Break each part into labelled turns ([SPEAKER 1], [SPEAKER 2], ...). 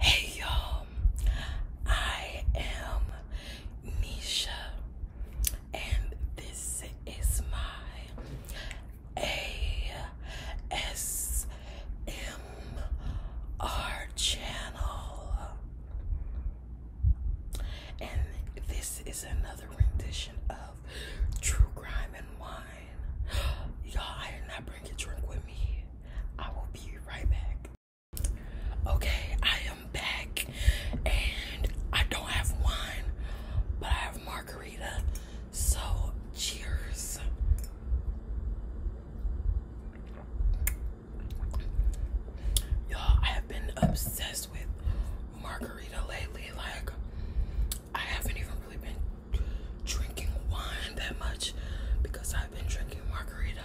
[SPEAKER 1] Hey y'all, I am Nisha, and this is my ASMR channel. And this is another rendition of True Crime and Wine. Y'all, I did not bring a drink with me. I will be right back. Okay, I am back and I don't have wine, but I have margarita. So, cheers. Y'all, I have been obsessed with margarita lately. Like, I haven't even really been drinking wine that much because I've been drinking margarita.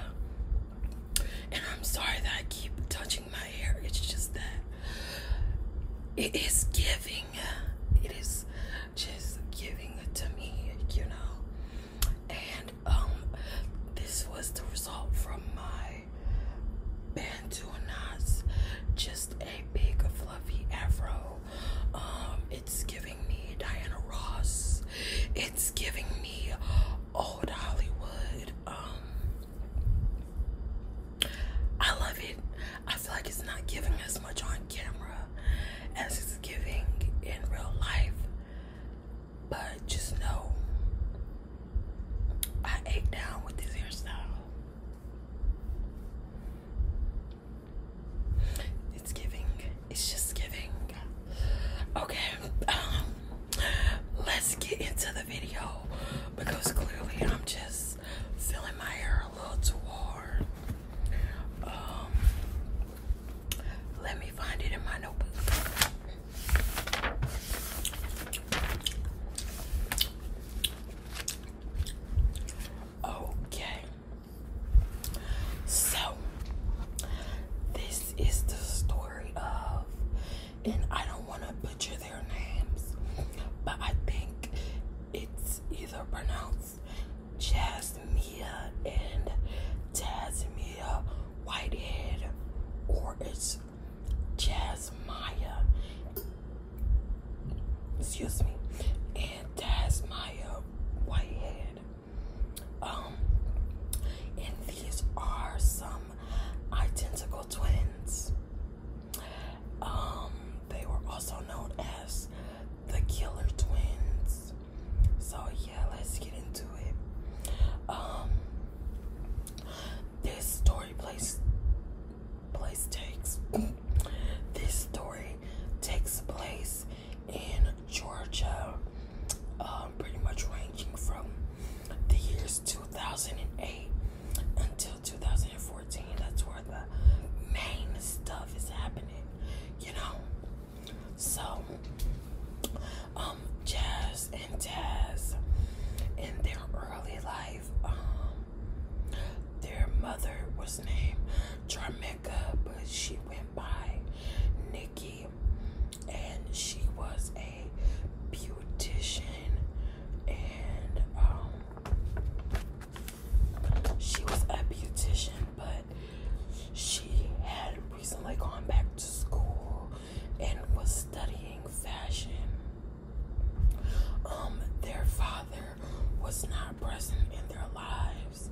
[SPEAKER 1] And I'm sorry that I keep touching my hair. It's just that it is giving. It is just giving it to me, you know. And um this was the result from my bantu knots. Just a big fluffy afro. Um, it's giving me Diana Ross. It's giving me old Hollywood. Um, I love it. I feel like it's not giving as much on camera as it's giving in real life. But just know I ate down with this hairstyle. It's giving. It's just giving. Okay, um, let's get into the video because clearly I'm just filling my hair a little too hard. Um, let me find it in my notebook. Okay. So this is the story of and I don't want to butcher their names, but I think it's either pronounced Jasmia and Tasmia Whitehead or it's Jasmia Excuse me. And that's my uh, white head. Um, and these are some identical twins. Um, they were also known as the Killer Twins. So yeah, let's get into it. Um, this story place place takes this story takes place in Georgia, um, pretty much ranging from the years 2008 until 2014. That's where the main stuff is happening, you know. So, um, Jazz and jazz in their early life um, their mother was named Charmeka, but she went by Nikki, and she was a beautician, and um, she was a beautician, but she had recently gone back to school and was studying fashion um, their father was not present in their lives.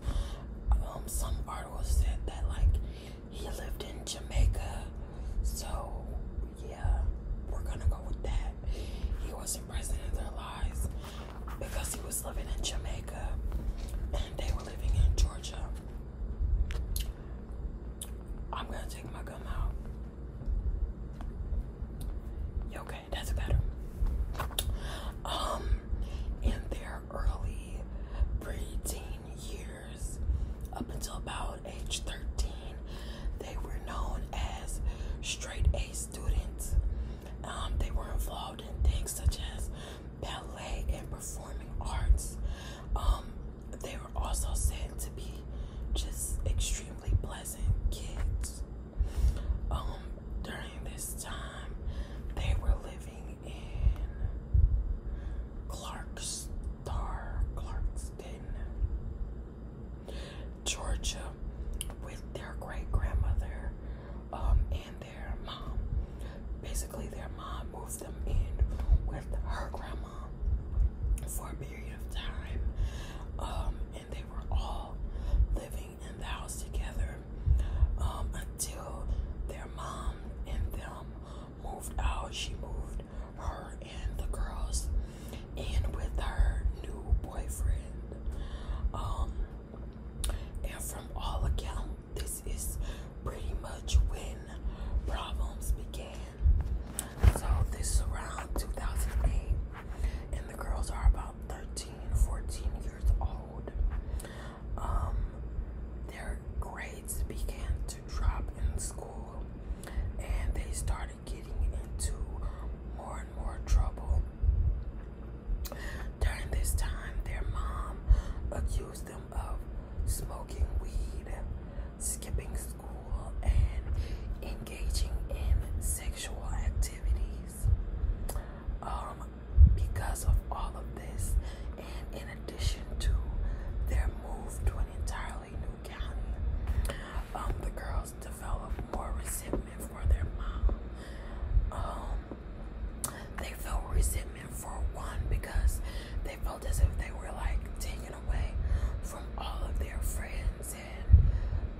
[SPEAKER 1] Um, some articles said that like he lived in Jamaica, so yeah, we're gonna go with that. He wasn't present in their lives because he was living in Jamaica and they were living in Georgia. I'm gonna take my gum out. Okay, that's better. Um, in their early preteen years, up until about age 13, they were known as straight A students. Um, they were involved in things such as ballet and performing arts. Um, they were also said to be just extremely pleasant kids. Um, during this time, they were living in Clarkstar, Clarkston, Georgia, with their great grandmother um, and their mom. Basically, their mom moved them in with her grandma um, for a period of time, um, and they were all living in the house together um, until their mom and them moved out. She moved her and the girls in with her new boyfriend. and from all accounts, this is pretty much when problems began. So this is around 2008, and the girls are about 13, 14 years old. Um, their grades began to drop in school, and they started getting into more and more trouble. During this time, their mom accused them of smoking weed skipping school, and engaging in sexual activities. Um, because of all of this, and in addition to their move to an entirely new county, um, the girls develop more resentment for their mom. Um, they felt resentment for one because they felt as if they were like taking away from all of their friends and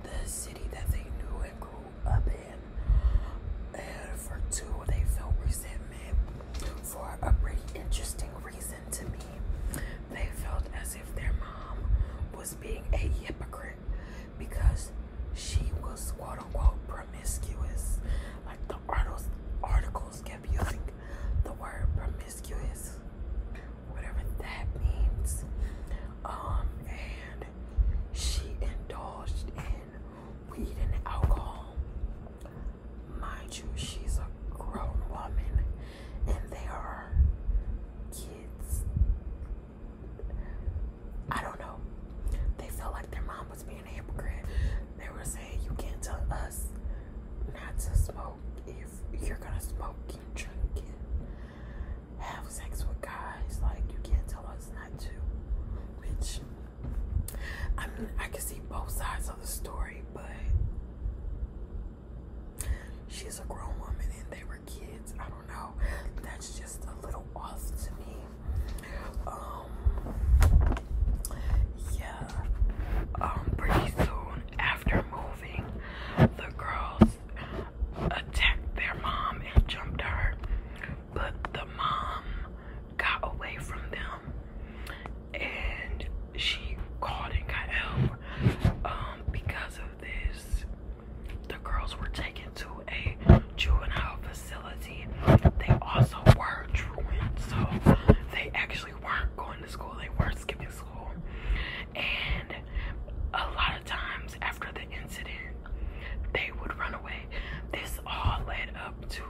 [SPEAKER 1] the city that they knew and grew up in. for two, they felt resentment for a pretty interesting reason to me. They felt as if their mom was being a hypocrite because she was quote unquote promiscuous. Like the articles, articles kept using the word promiscuous whatever that means. Um, and she indulged in weed and alcohol. Mind you, she's a grown woman, and they are kids. I don't know. They felt like their mom was being a hypocrite. They were saying, You can't tell us not to smoke if you're gonna smoke, and drink and have sex with guys, like you can't tell us not to. Which I mean, I can see both sides of the story, but she's a grown woman and they were kids. I don't know. That's just a little off to me. Um, yeah. Um, pretty soon after moving, the girls attacked their mom and jumped her, but the mom got away from them and she called and got help. Um, because of this, the girls were taken to a juvenile facility. They also were truant, so they actually weren't going to school, they were skipping school. And a lot of times after the incident, they would run away. This all led up to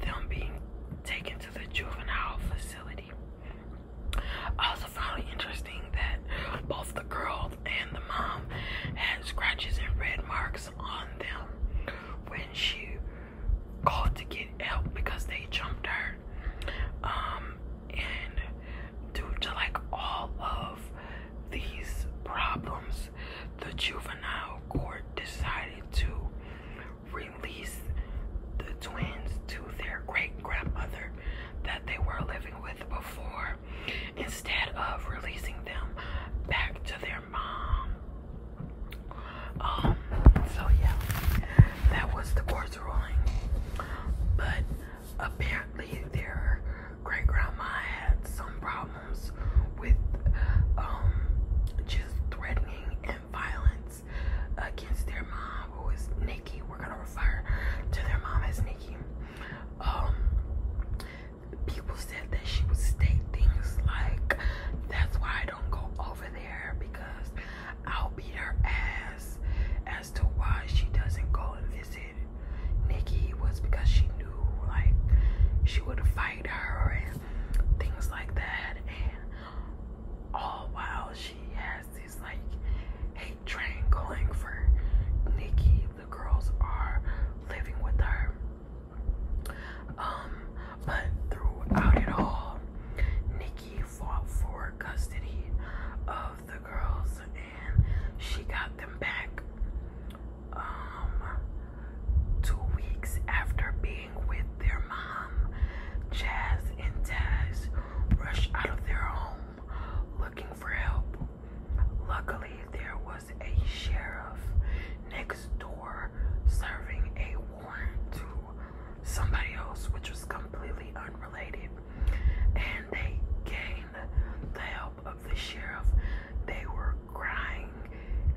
[SPEAKER 1] them being taken to the juvenile facility. I also found it interesting that both the girl and the mom had scratches and red marks on them when she called to get help because they jumped her. Um, and due to like all of these problems, the juvenile court decided to release the twins to their great grandmother that they were living with before instead of releasing them back to their mom. Um, so yeah, that was the court's rolling. But apparently, their great grandma had some problems with um, just threatening and violence against their mom, who is Nikki. We're gonna refer to their mom as Nikki. Um, people said that she would state things like, "That's why I don't go over because I'll beat her ass as to why she doesn't go and visit Nikki was because she knew like she would fight her and things like that and all while she has this like hate train going for Nikki the girls are living with her um, but throughout it all, Nikki fought for custody of the girls and she got them back um, two weeks after being with their mom. Jazz and Taz rushed out of their home looking for help. Luckily there was a sheriff next door serving a to somebody else, which was completely unrelated. And they gained the help of the sheriff. They were crying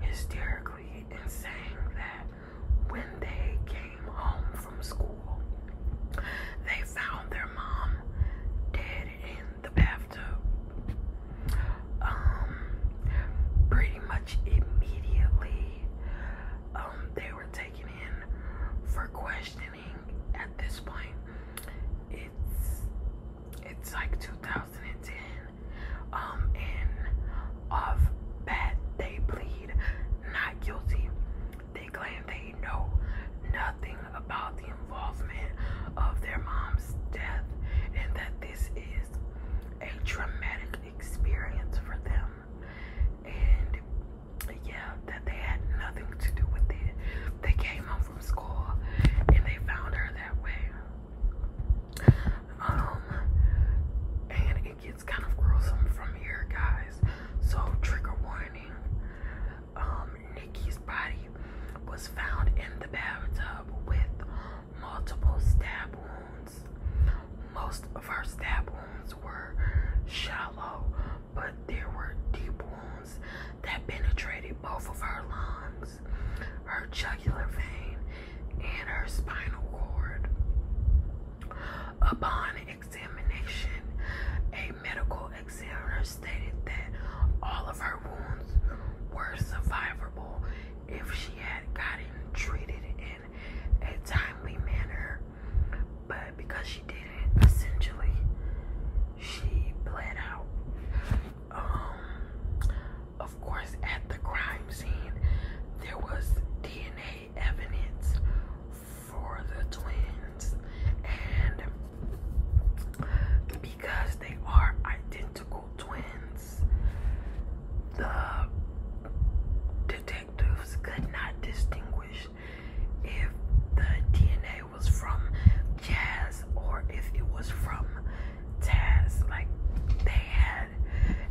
[SPEAKER 1] hysterically and saying that when they came home from school, they found their mom dead in the bathtub um, pretty much immediately um, they were taken in for questioning at this point it's it's like 2010 um and of that they plead not guilty they claim they know nothing about the involvement of their mom's death and that this is a traumatic experience for them. And yeah, that they had nothing to do with it. They came home from school and they found her that way. Um, and it gets kind of gruesome from here, guys. So, trigger warning. Um, Nikki's body was found in the bathtub with multiple stab wounds. Most of her stab wounds were shallow, but there were deep wounds that penetrated both of her lungs, her jugular vein, and her spinal cord. Upon examination, a medical examiner stated that all of her wounds were survivable if she had gotten treated in a timely manner. But because she didn't, essentially, she bled out. Um, of course, at the crime scene, there was DNA evidence for the twins, and because they are identical twins, the detectives could not distinguish if the DNA was from Jazz or if it was from Taz. Like, they had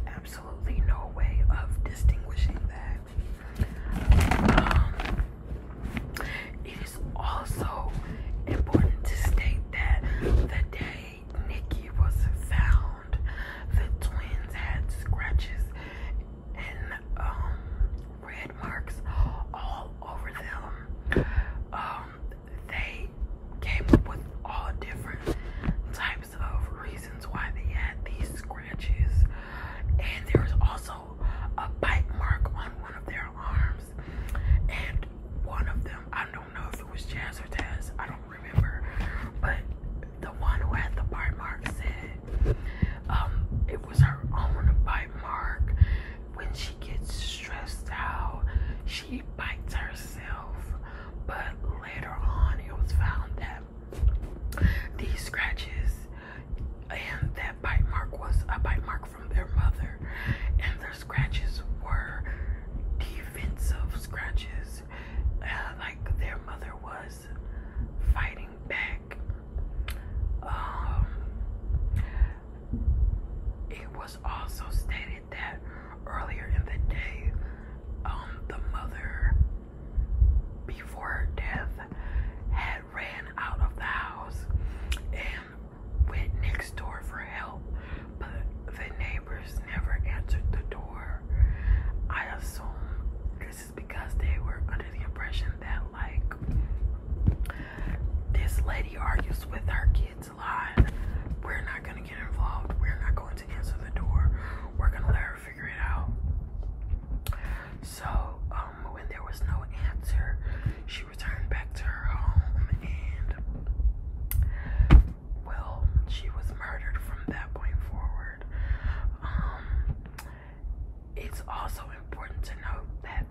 [SPEAKER 1] absolutely no way of distinguishing that. Um, it is also important to state that the day day Nikki was found, the twins had scratches and um, red marks all over them. Um, they came up with all different types of reasons why they had these scratches, and there was also a bite mark on one of their arms, and one of them I know. I don't know if it was Jazz or Taz. I don't remember. But the one who had the bite mark said um, it was her own bite mark. When she gets stressed out, she bites herself. But later on, it was found that these scratches and that bite mark was a bite mark from their mother, and their scratches were defensive scratches, uh, like their mother was fighting back. Um, it was also stated that earlier in the day, um, the mother, before her death, had ran out of the house and went next door for help, but the neighbors never answered the door. I assume this is because they were under the impression that, like, this lady argues with her kids a lot. We're not gonna get involved, we're not going to answer the door, we're gonna let her figure it out. So, um, when there was no answer, she she returned back to her home and well she was murdered from that point forward um, it's also important to note that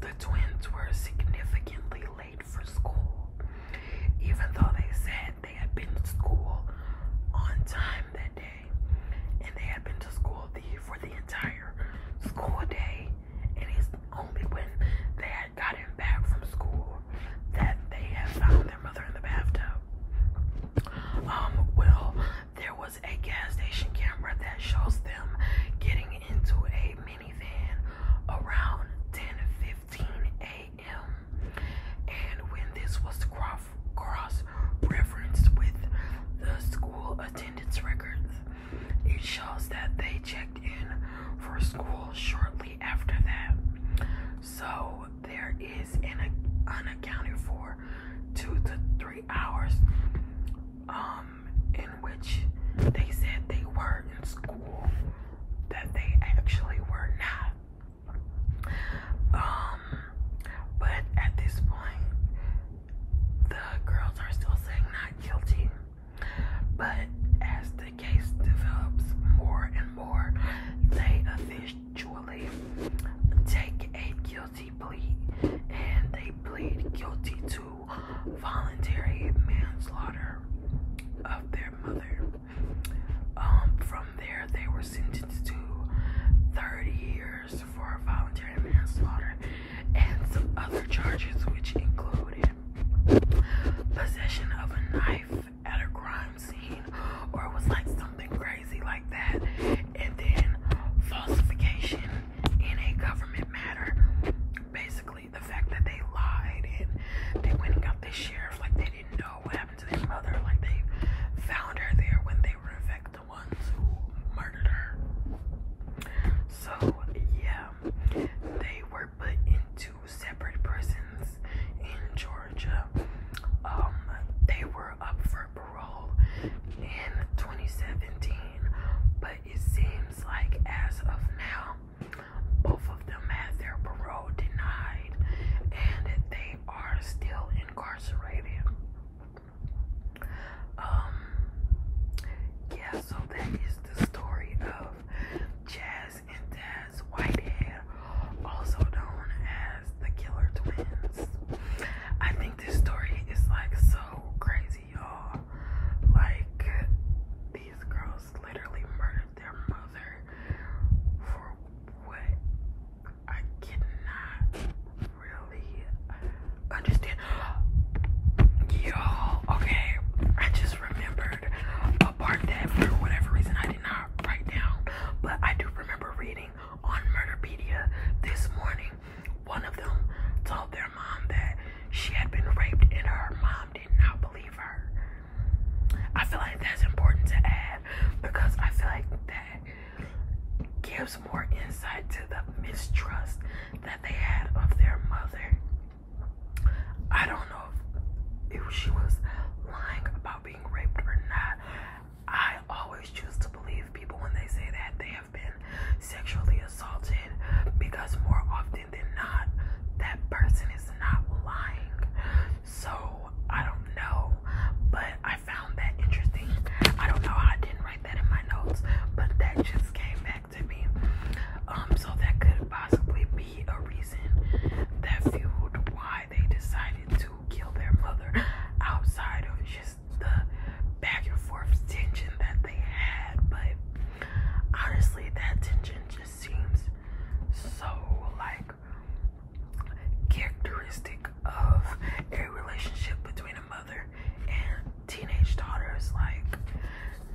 [SPEAKER 1] the twins were significantly late for school even though they said they had been to school on time that day and they had been to school for the entire school day it is only when they had gotten back from school that they had found their mother in the bathtub. Um, well, there was a gas station camera that shows them getting into a minivan around 10:15 a.m. And when this was cross-referenced with the school attendance records, it shows that they checked in for school shortly after that. So there is an unaccounted for two to three hours um, in which they said they were in school that they actually were not. Um, but at this point, the girls are still saying not guilty. But as the case develops more and more, they eventually take a guilty plea and they plead guilty to voluntary manslaughter of their mother. Um, from there, they were sentenced to 30 years for voluntary manslaughter and some other charges, which included possession of a knife at a crime scene, or it was like something crazy like that, and then falsification in a government matter. Basically, the fact that they lied and they went and got the sheriff like they didn't know what happened to their mother, like they found her there when they were in fact the ones who murdered her. So yeah, they were put into separate prisons in Georgia. Um, they were up for parole in 2017, but it seems like as of now, both of them have their parole denied and they are still incarcerated. Um, yeah, so that is the story of Jazz and Daz Whitehead, also known as the Killer Twins. I think this story is like so crazy, y'all. Like, these girls literally murdered their mother for what? I cannot really understand. Yo, okay, I just remembered a part that for whatever reason I did not write down, but I do remember reading on Murderpedia this morning. One of them told their mom that she had been raped and her mom did not believe her. I feel like that's important to add because I feel like that gives more insight to the mistrust that they had of their mother. I don't know if she was lying about being raped or not. I always choose to believe people when they say that they have been sexually assaulted because more often than not, that person is not lying. So I don't know, but I found that interesting. I don't know I didn't write that in my notes, but that just came back to me. Um, so that could possibly be a reason that fueled why they decided to kill their mother outside of just the back and forth tension that they had. But honestly, that tension just seems so like characteristic of a relationship between mother and teenage daughters like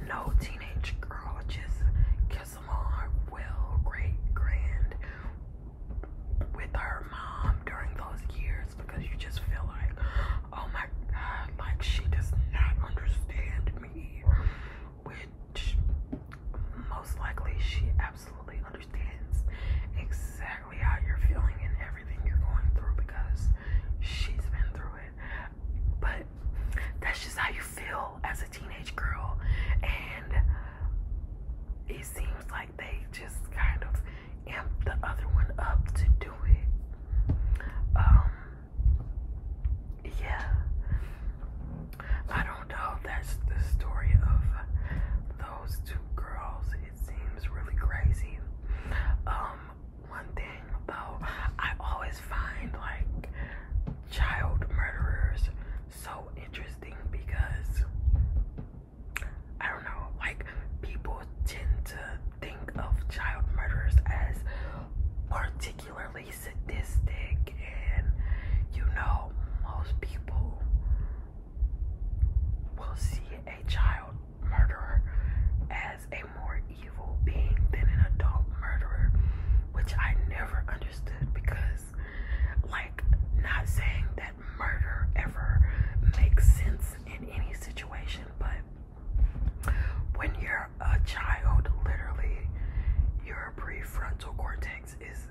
[SPEAKER 1] no teenage girl just kiss them all her well great grand with her mom during those years because you just feel like oh my god like she does not understand me which most likely she absolutely understands except how you're feeling and everything you're going through because she's been through it. But that's just how you feel as a teenage girl. And it seems like they just kind of amp the other one up to do it. Um, yeah. I don't know. That's the story of those two girls seems really crazy. Um, one thing though, I always find like child murderers so interesting because I don't know, like people tend to think of child murderers as particularly sadistic and you know most people will see a child murderer as a more evil being than an adult murderer, which I never understood because, like, not saying that murder ever makes sense in any situation, but when you're a child, literally, your prefrontal cortex is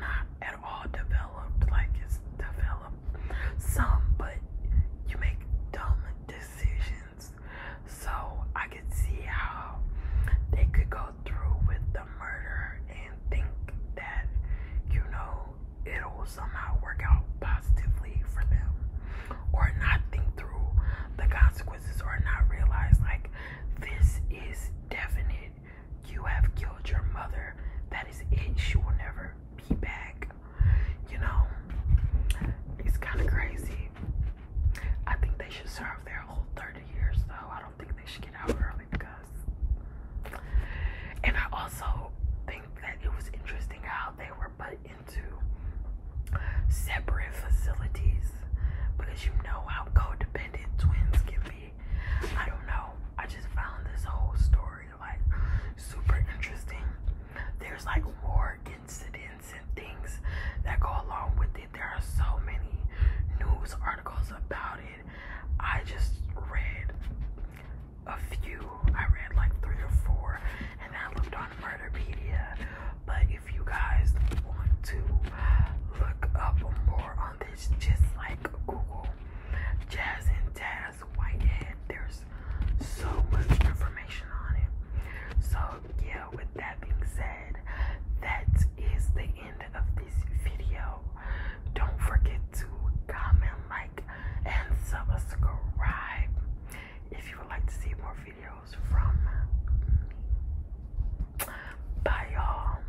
[SPEAKER 1] not at all developed, like, it's developed some, but you make dumb decisions. So I could see how they could go through with the murder and think that, you know, it'll somehow work out positively for them. Or not think through the consequences or not realize, like, this is definite you have killed your mother. That is it. She will never be back. You know, it's kind of crazy. I think they should serve their whole 30 years, though. I don't think they should get out early because. And I also think that it was interesting how they were put into separate facilities because you know how codependent twins can be. I don't know. I just found this whole story read Super interesting. There's like more incidents and things that go along with it. There are so many news articles about it. I just read a few. I read like three or four, and I looked on Murderpedia. But if you guys want to look up more on um, just like Google Jazz and Taz Whitehead, there's so much information on it. So, yeah, with that being said, that is the end of this video. Don't forget to comment, like, and subscribe if you would like to see more videos from me. Bye, y'all.